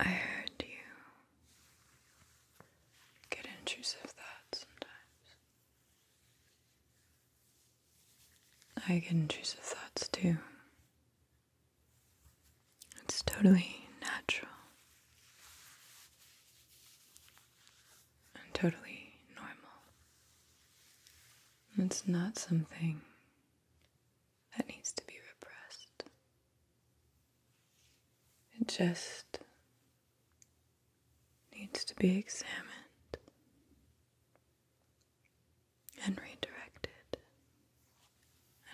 I heard you get intrusive thoughts sometimes. I get intrusive thoughts too. It's totally natural and totally normal. It's not something that needs to be repressed. It just needs to be examined and redirected.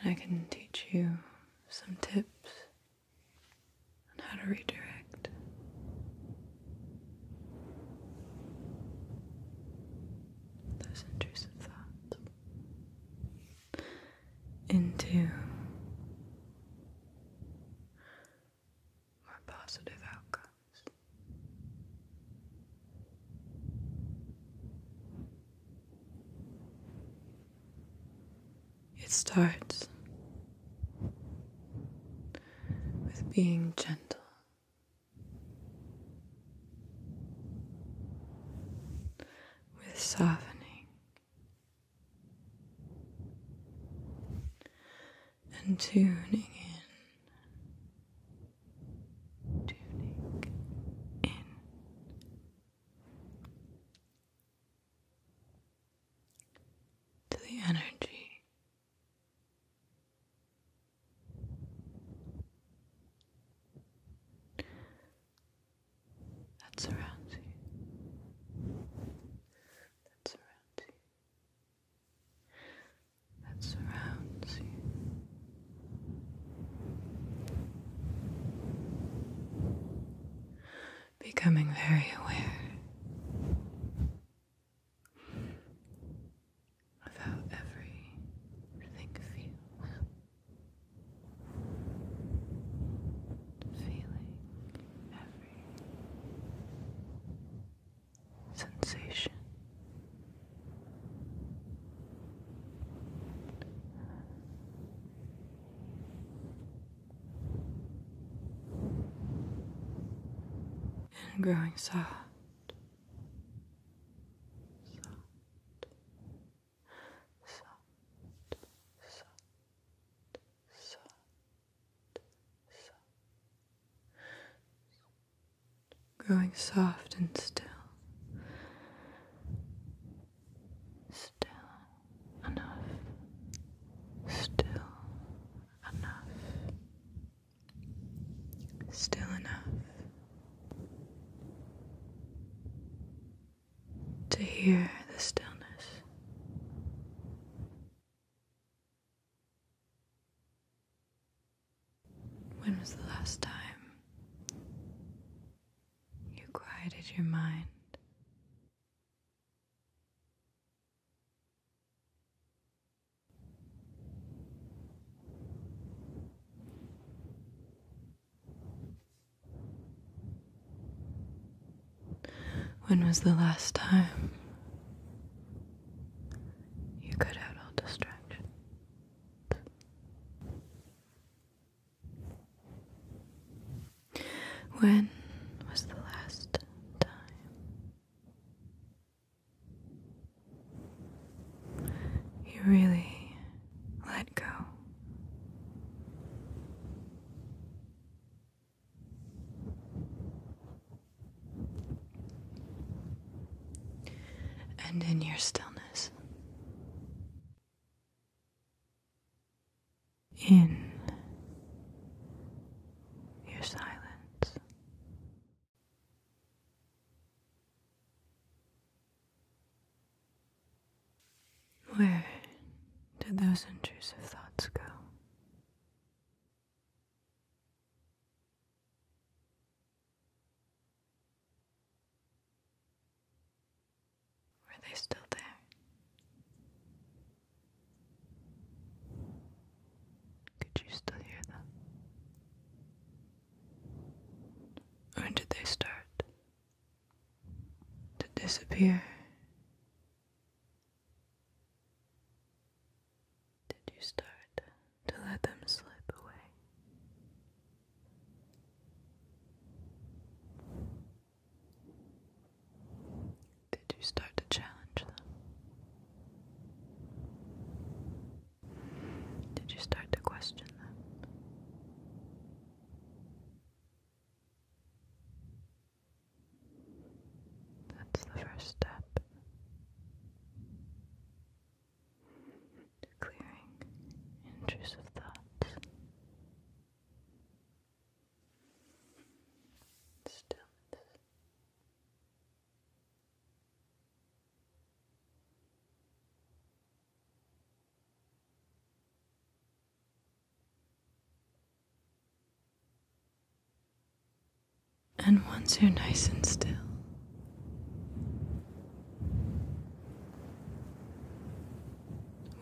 And I can teach you some tips on how to redirect. Those intrusive thoughts into more positive outcomes. It starts with being gentle with softening and tuning in, tuning in. To the energy that surrounds you, that surrounds you, that surrounds you. Becoming very aware of how everything feels feeling every sensation. And growing soft, soft, soft, soft, soft, soft. Growing soft and still, still enough, still enough, still enough to hear the stillness. When was the last time you quieted your mind? When was the last time you cut out all distractions? When was the last time you really let go. And in your stillness, in your silence, where did those intrusive thoughts go? Were they still there? Could you still hear them? When did they start to disappear? Did you start to let them slip away? Did you start to challenge them? Did you start to question them? That's the first step to clearing intrusive thoughts. Stillness. And once you're nice and still,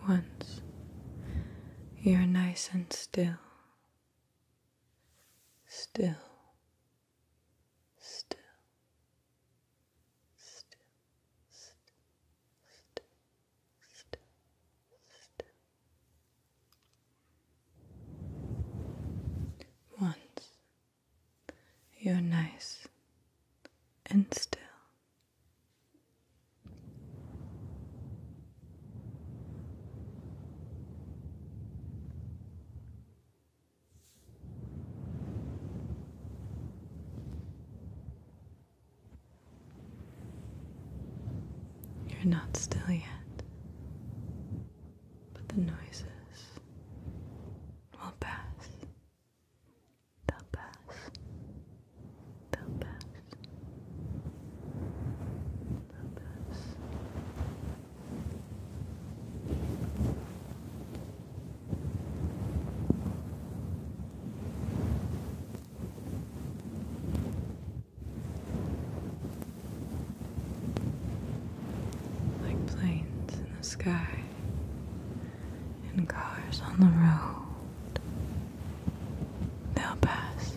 once you're nice and still, still still, still, still, still, still, still. Once you're nice and still. You're not still yet, but the noises will pass. They'll pass. They'll pass. They'll pass. Like planes in the sky and cars on the road, they'll pass.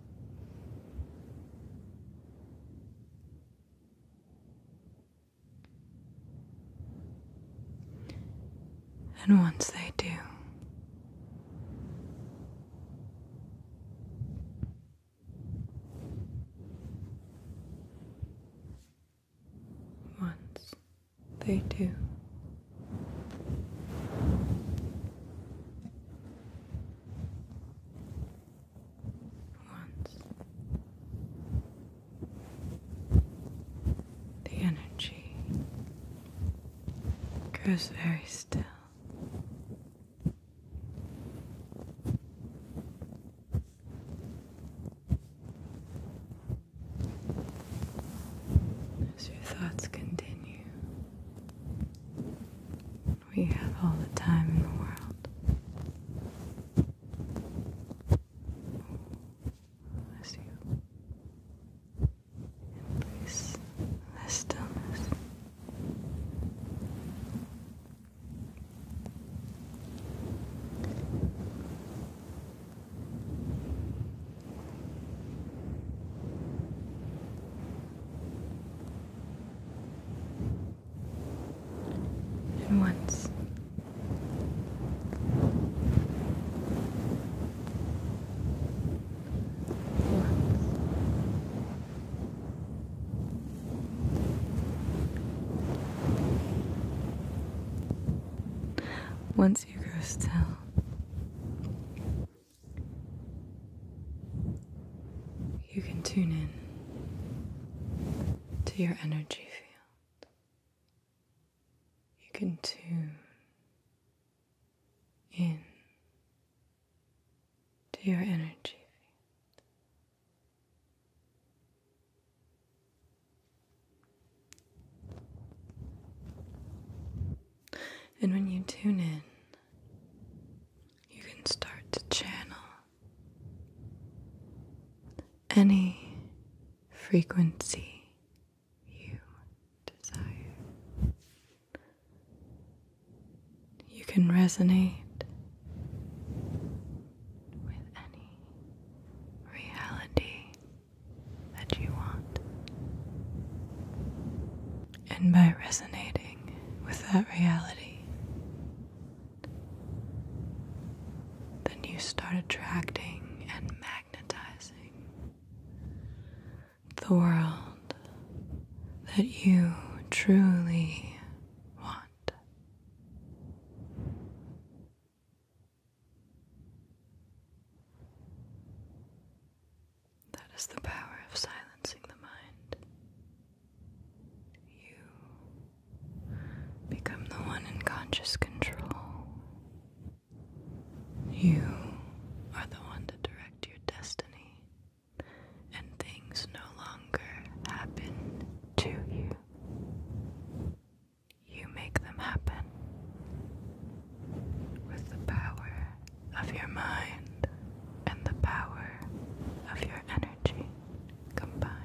And once they do, once they do. Once the energy grows very still. As your thoughts continue we have all the time in the world. Bless you. And please, the stillness. And once once you grow still, you can tune in to your energy field. You can tune in to your energy field. And when you tune in, you can start to channel any frequency you desire. You can resonate. With any reality that you want. And by resonating with that reality, then you start attracting and magnetizing the world that you truly want. That is the power of silencing the mind. You become the one in conscious control. You are the one to direct your destiny, and things no longer happen to you. You make them happen with the power of your mind and the power of your energy combined.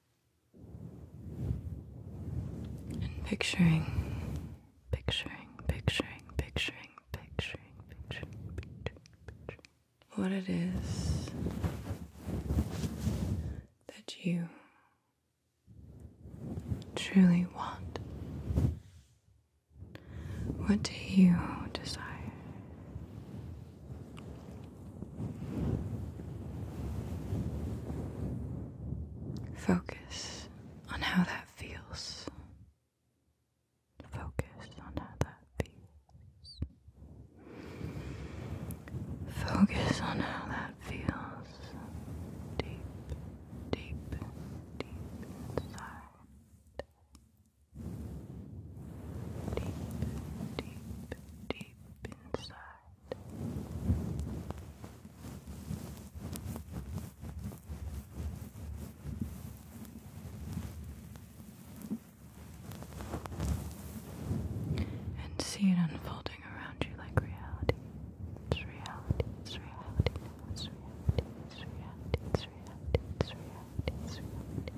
And picturing, picturing, picturing, picturing, picturing, what it is that you truly want. What do you desire? Focus on how that feels. Focus on how that feels. Focus on how that feels deep, deep, deep inside. Deep, deep, deep inside. And see it unfolding around you like reality. It's reality, it's reality, it's reality, it's reality, it's reality, it's reality, it's reality.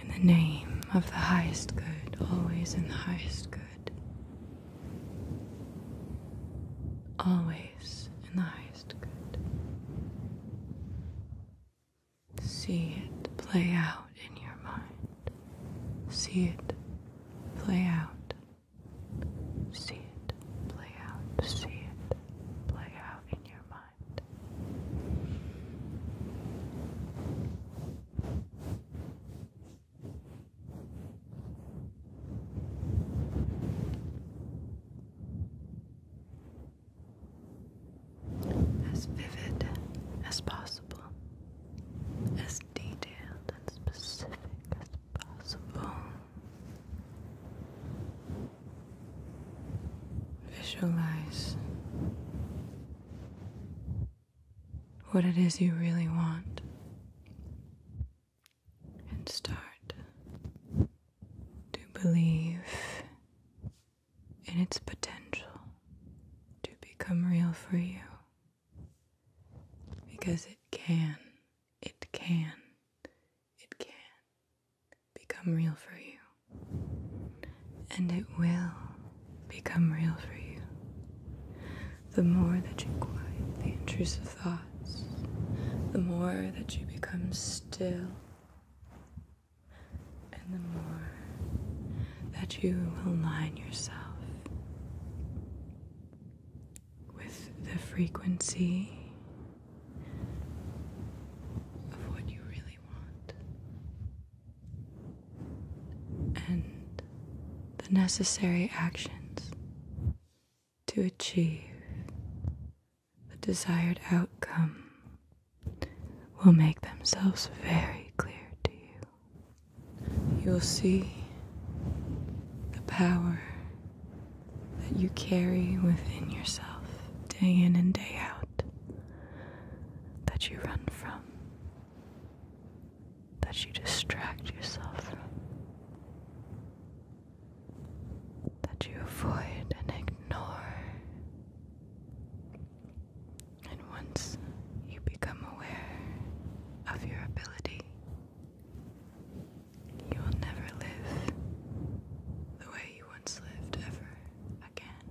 In the name of the highest good, always in the highest good. Always in the highest good. See it play out in your mind. See it play out. See it play out. See it play out in your mind. As vivid as possible, as detailed and specific as possible. Visualize what it is you really want and start to believe in its potential to become real for you because it can, it can, it can become real for you and it will become real for you. The more that you quiet the intrusive thoughts, the more that you become still, and the more that you align yourself with the frequency. Of what you really want and the necessary actions to achieve the desired outcome will make themselves very clear to you. You'll see the power that you carry within yourself day in and day out that, you run from, that you distract yourself from, that you avoid and ignore. And once you become aware of your ability, you will never live the way you once lived ever again.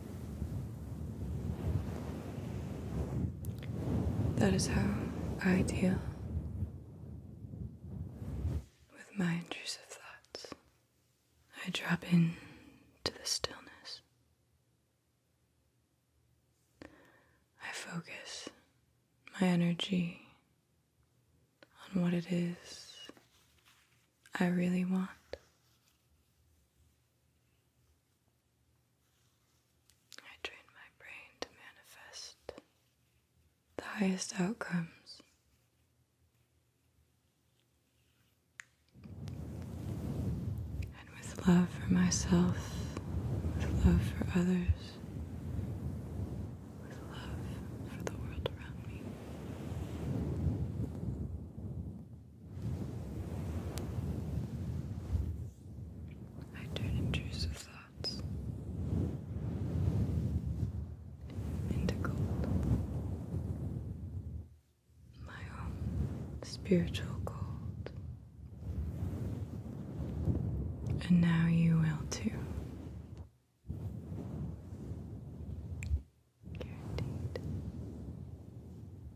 That is how I deal with my intrusive thoughts. I drop into the stillness. I focus my energy on what it is I really want. I train my brain to manifest the highest outcomes. And with love for myself, with love for others, with love for the world around me. I turn intrusive thoughts into gold. My own spiritual gold. And now you will too. Guaranteed.